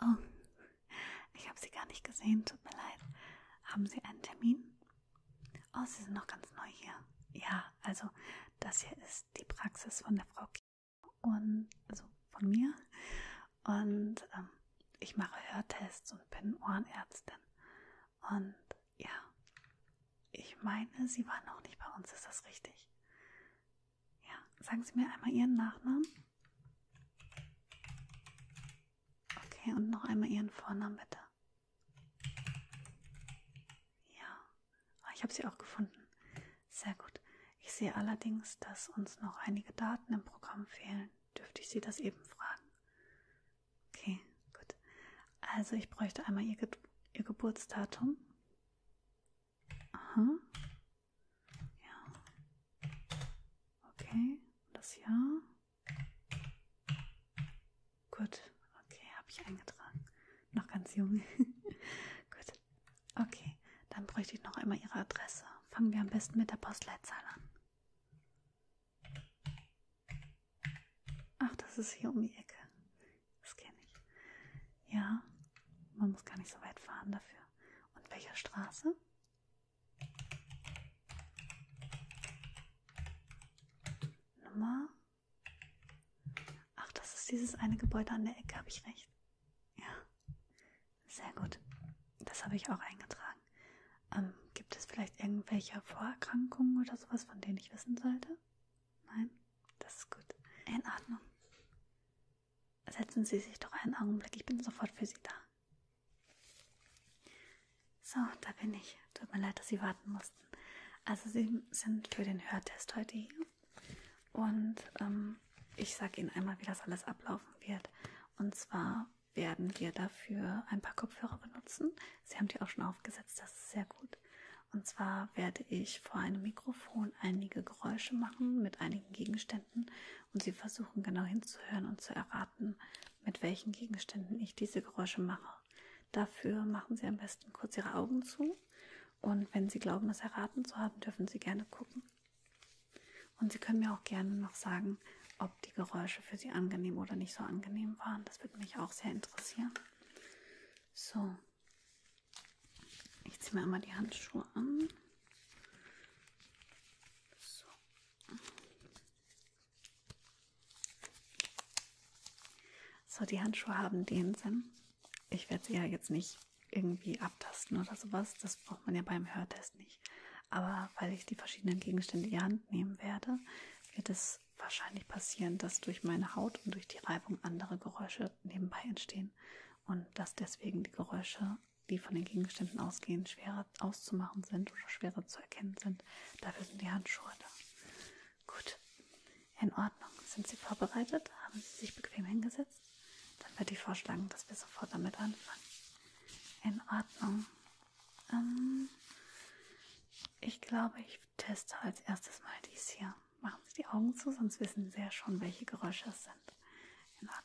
Oh, ich habe Sie gar nicht gesehen, tut mir leid. Haben Sie einen Termin? Oh, Sie sind noch ganz neu hier. Ja, also das hier ist die Praxis von der Frau K und also von mir. Und ähm, ich mache Hörtests und bin Ohrenärztin. Und ja, ich meine, Sie waren noch nicht bei uns, ist das richtig? Ja, sagen Sie mir einmal Ihren Nachnamen. Okay, und noch einmal Ihren Vornamen bitte. Ja, ah, ich habe sie auch gefunden. Sehr gut. Ich sehe allerdings, dass uns noch einige Daten im Programm fehlen. Dürfte ich Sie das eben fragen? Okay, gut. Also ich bräuchte einmal Ihr, Ge Ihr Geburtsdatum. Aha. Ja. Okay, das Jahr. Gut, okay, habe ich eingetragen. Noch ganz jung. Gut, okay, dann bräuchte ich noch einmal Ihre Adresse. Fangen wir am besten mit der Postleitzahl an. Ach, das ist hier um die Ecke. Das kenne ich. Ja, man muss gar nicht so weit fahren dafür. Und welche Straße? Nummer. Ach, das ist dieses eine Gebäude an der Ecke, habe ich recht? Ja. Sehr gut. Das habe ich auch eingetragen. Ähm, gibt es vielleicht irgendwelche Vorerkrankungen oder sowas, von denen ich wissen sollte? Nein? Das ist gut. In Ordnung. Setzen Sie sich doch einen Augenblick, ich bin sofort für Sie da. So, da bin ich. Tut mir leid, dass Sie warten mussten. Also Sie sind für den Hörtest heute hier. Und ähm, ich sage Ihnen einmal, wie das alles ablaufen wird. Und zwar werden wir dafür ein paar Kopfhörer benutzen. Sie haben die auch schon aufgesetzt, das ist sehr gut. Und zwar werde ich vor einem Mikrofon einige Geräusche machen mit einigen Gegenständen und Sie versuchen genau hinzuhören und zu erraten, mit welchen Gegenständen ich diese Geräusche mache. Dafür machen Sie am besten kurz Ihre Augen zu und wenn Sie glauben, es erraten zu haben, dürfen Sie gerne gucken. Und Sie können mir auch gerne noch sagen, ob die Geräusche für Sie angenehm oder nicht so angenehm waren. Das würde mich auch sehr interessieren. So, ich ziehe mir einmal die Handschuhe an. So. So, die Handschuhe haben DSM. Ich werde sie ja jetzt nicht irgendwie abtasten oder sowas. Das braucht man ja beim Hörtest nicht. Aber weil ich die verschiedenen Gegenstände in die Hand nehmen werde, wird es wahrscheinlich passieren, dass durch meine Haut und durch die Reibung andere Geräusche nebenbei entstehen und dass deswegen die Geräusche, die von den Gegenständen ausgehen, schwerer auszumachen sind oder schwerer zu zu erkennen sind. Dafür sind die Handschuhe da. Gut, in Ordnung. Sind Sie vorbereitet? Haben Sie sich bequem hingesetzt? Dann würde ich vorschlagen, dass wir sofort damit anfangen. In Ordnung. Ähm, ich glaube, ich teste als erstes mal dies hier. Machen Sie die Augen zu, sonst wissen Sie ja schon, welche Geräusche es sind. In Ordnung.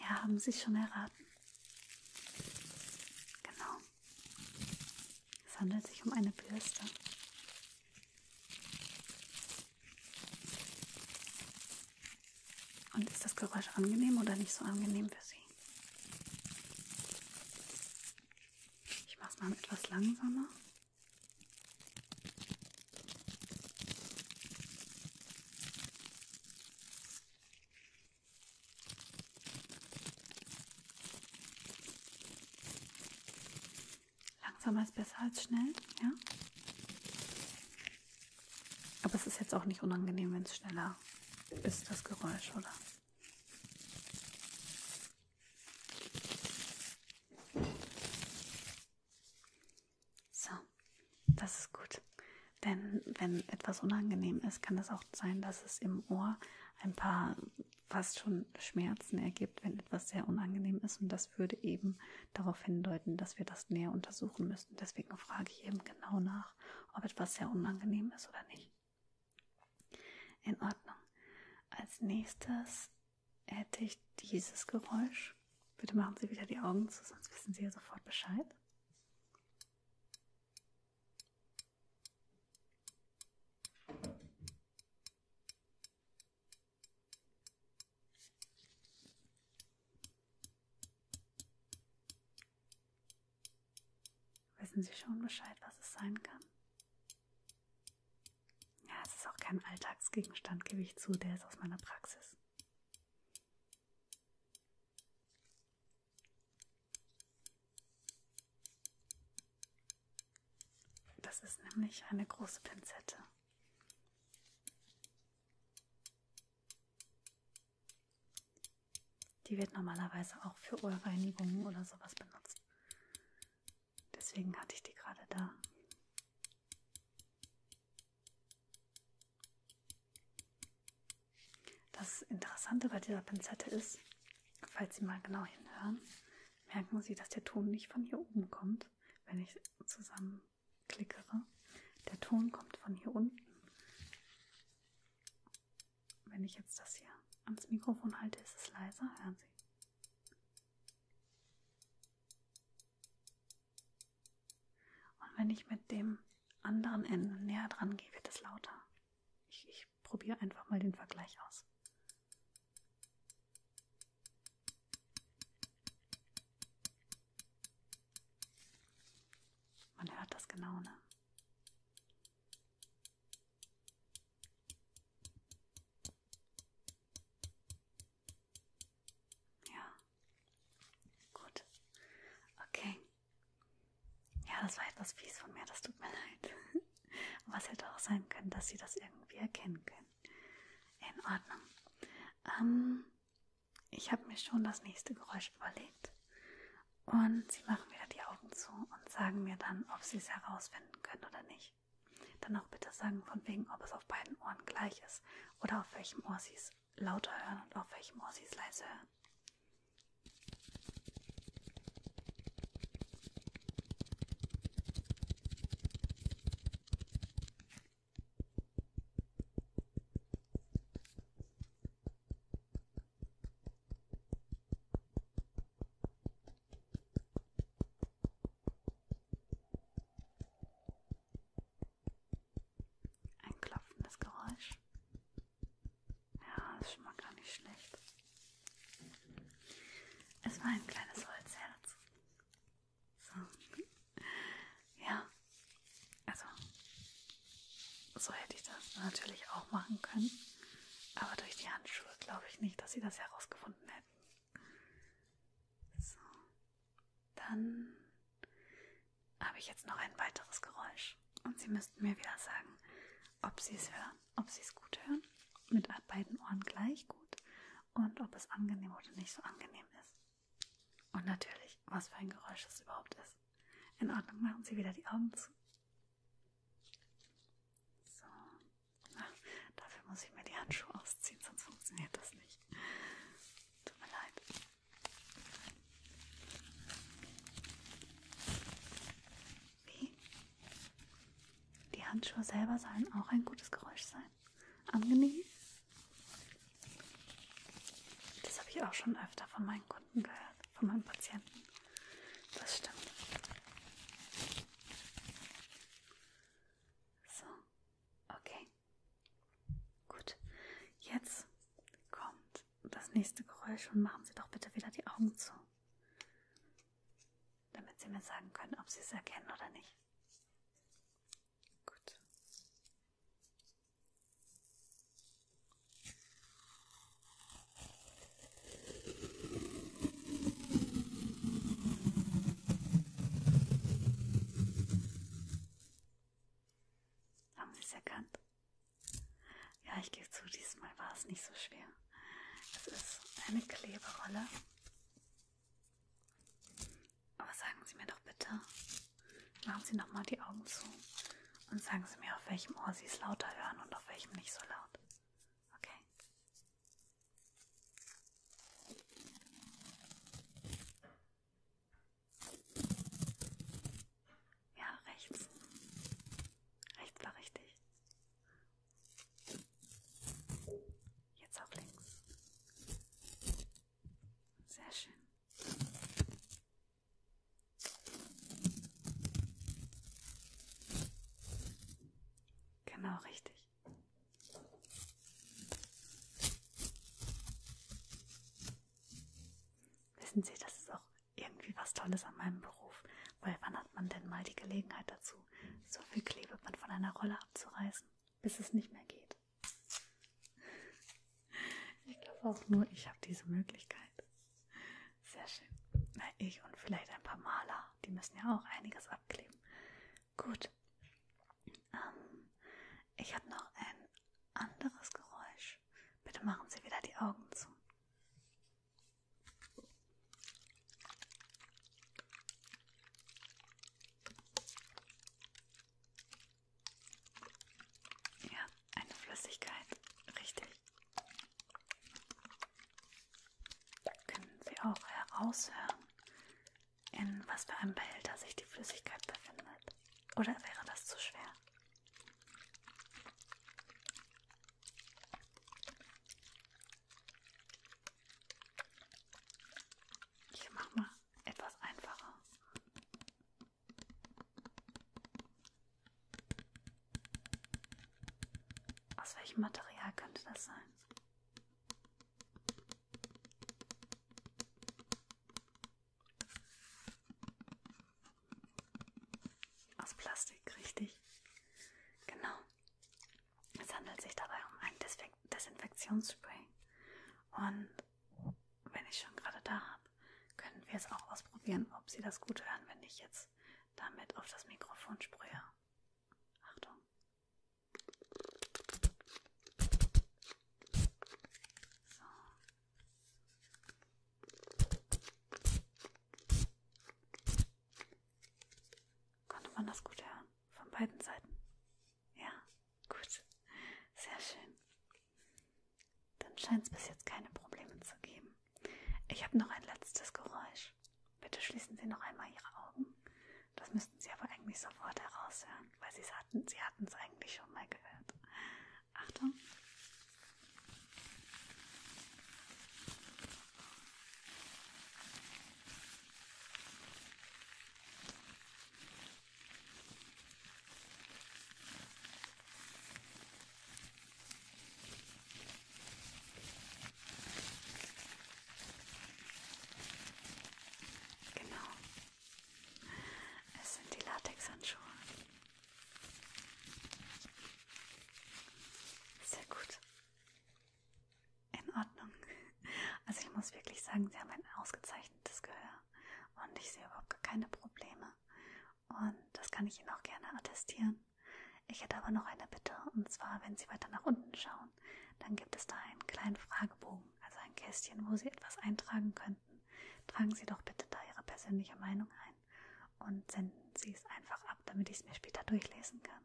Ja, haben Sie schon erraten? Genau. Es handelt sich um eine Bürste. Und ist das Geräusch angenehm oder nicht so angenehm für Sie? Ich mache es mal etwas langsamer. Langsamer ist besser als schnell, ja? Aber es ist jetzt auch nicht unangenehm, wenn es schneller ist, das Geräusch, oder? So, das ist gut. Denn wenn etwas unangenehm ist, kann das auch sein, dass es im Ohr ein paar fast schon Schmerzen ergibt, wenn etwas sehr unangenehm ist. Und das würde eben darauf hindeuten, dass wir das näher untersuchen müssen müssen. Deswegen frage ich eben genau nach, ob etwas sehr unangenehm ist oder nicht. In Ordnung. Als nächstes hätte ich dieses Geräusch. Bitte machen Sie wieder die Augen zu, sonst wissen Sie ja sofort Bescheid. Wissen Sie schon Bescheid, was es sein kann? Ja, es ist auch kein Alltagsgegenstand, gebe ich zu, der ist aus meiner Praxis. Das ist nämlich eine große Pinzette. Die wird normalerweise auch für Ohrreinigungen oder sowas benutzt. Deswegen hatte ich die gerade da. Das Interessante bei dieser Pinzette ist, falls Sie mal genau hinhören, merken Sie, dass der Ton nicht von hier oben kommt, wenn ich zusammen klickere. Der Ton kommt von hier unten. Wenn ich jetzt das hier ans Mikrofon halte, ist es leiser. Hören Sie. Und wenn ich mit dem anderen Ende näher dran gehe, wird es lauter. Ich, ich probiere einfach mal den Vergleich aus. Man hört das genau, ne? Ja. Gut. Okay. Ja, das war etwas fies von mir, das tut mir leid. Was hätte auch sein können, dass sie das irgendwie erkennen können. In Ordnung. Ähm, ich habe mir schon das nächste Geräusch überlegt und Sie machen wieder die Augen zu und sagen mir dann, ob Sie es herausfinden können oder nicht. Dann auch bitte sagen, von wegen, ob es auf beiden Ohren gleich ist oder auf welchem Ohr Sie es lauter hören und auf welchem Ohr Sie es leise hören. Ein klopfendes Geräusch. Ja, das ist schon mal gar nicht schlecht. Es war ein kleines Holzherz. So. Ja, also, so hätte ich das natürlich auch machen können. Aber durch die Handschuhe glaube ich nicht, dass sie das herausgefunden hätten. So. Dann habe ich jetzt noch ein weiteres Geräusch. Und Sie müssten mir wieder sagen, ob Sie es hören, ob Sie es gut hören. Mit beiden Ohren gleich gut. Und ob es angenehm oder nicht so angenehm ist. Und natürlich, was für ein Geräusch das überhaupt ist. In Ordnung, machen Sie wieder die Augen zu. So. Ach, dafür muss ich mir die Handschuhe ausziehen, sonst funktioniert das nicht. Tut mir leid. Wie? Die Handschuhe selber sollen auch ein gutes Geräusch sein. Angenehm? Das habe ich auch schon öfter von meinen Kunden gehört, von meinen Patienten. Das stimmt. So, okay. Gut. Jetzt kommt das nächste Geräusch und machen Sie doch bitte wieder die Augen zu. Damit Sie mir sagen können, ob Sie es erkennen oder nicht. Gut. Haben Sie es erkannt? Ja, ich gebe zu, diesmal war es nicht so schwer. Es ist eine Kleberolle. Aber sagen Sie mir doch bitte, Machen Sie nochmal die Augen zu und sagen Sie mir, auf welchem Ohr Sie es lauter hören und auf welchem nicht so laut. Okay? Ja, rechts. Rechts war richtig. Jetzt auch links. Sehr schön. Genau richtig. Wissen Sie, das ist auch irgendwie was Tolles an meinem Beruf, weil wann hat man denn mal die Gelegenheit dazu, so viel Klebeband von einer Rolle abzureißen, bis es nicht mehr geht? Ich glaube auch nur, ich habe diese Möglichkeit. Sehr schön. Na, ich und vielleicht ein paar Maler. Die müssen ja auch einiges abkleben. Gut. Ähm, ich habe noch ein anderes Geräusch. Bitte machen Sie wieder die Augen zu. Ja, eine Flüssigkeit, richtig. Können Sie auch heraushören, in was für einem Behälter sich die Flüssigkeit befindet? Oder wäre das zu schwer? Ich mache mal etwas einfacher. Aus welchem Material könnte das sein? Aus Plastik, richtig. Genau. Es handelt sich dabei um ein Desinfektionsspray. Und wenn ich schon gerade da habe, können wir es auch ausprobieren, ob Sie das gut hören, wenn ich jetzt damit auf das Mikrofon sprühe. Achtung. So. Konnte man das gut hören? Von beiden Seiten? Ja, gut. Sehr schön. Dann scheint es bis jetzt keine Probleme zu geben. Ich habe noch ein letztes Geräusch. Bitte schließen Sie noch einmal Ihre Augen. Das müssten Sie aber eigentlich sofort heraushören, weil Sie es hatten, Sie hatten es eigentlich schon mal gehört. Achtung. Genau. Es sind die Latexhandschuhe. Sehr gut. In Ordnung. Also ich muss wirklich sagen, Sie haben ein ausgezeichnetes Gehör und ich sehe überhaupt gar keine Probleme. Und das kann ich Ihnen auch gerne attestieren. Ich hätte aber noch eine Bitte, und zwar, wenn Sie weiter nach unten schauen, dann gibt es da einen kleinen Fragebogen, also ein Kästchen, wo Sie etwas eintragen könnten. Tragen Sie doch bitte da Ihre persönliche Meinung ein und senden Sie es einfach ab, damit ich es mir später durchlesen kann.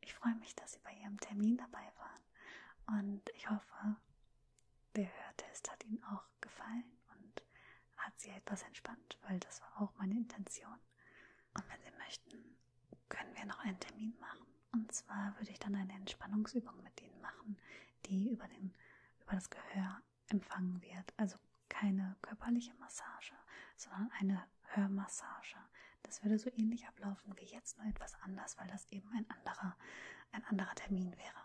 Ich freue mich, dass Sie bei Ihrem Termin dabei waren und ich hoffe, wer hörte es, hat Ihnen auch auch gefallen und hat sie etwas entspannt, weil das war auch meine Intention. Und wenn Sie möchten, können wir noch einen Termin machen. Und zwar würde ich dann eine Entspannungsübung mit Ihnen machen, die über, den, über das Gehör empfangen wird. Also keine körperliche Massage, sondern eine Hörmassage. Das würde so ähnlich ablaufen wie jetzt, nur etwas anders, weil das eben ein anderer, ein anderer Termin wäre.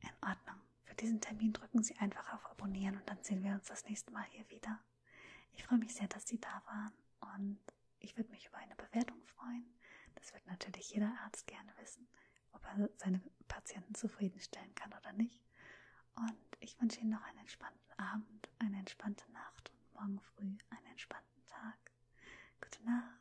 In Ordnung für diesen Termin drücken Sie einfach auf Abonnieren und dann sehen wir uns das nächste Mal hier wieder. Ich freue mich sehr, dass Sie da waren und ich würde mich über eine Bewertung freuen. Das wird natürlich jeder Arzt gerne wissen, ob er seine Patienten zufriedenstellen kann oder nicht. Und ich wünsche Ihnen noch einen entspannten Abend, eine entspannte Nacht und morgen früh einen entspannten Tag. Gute Nacht.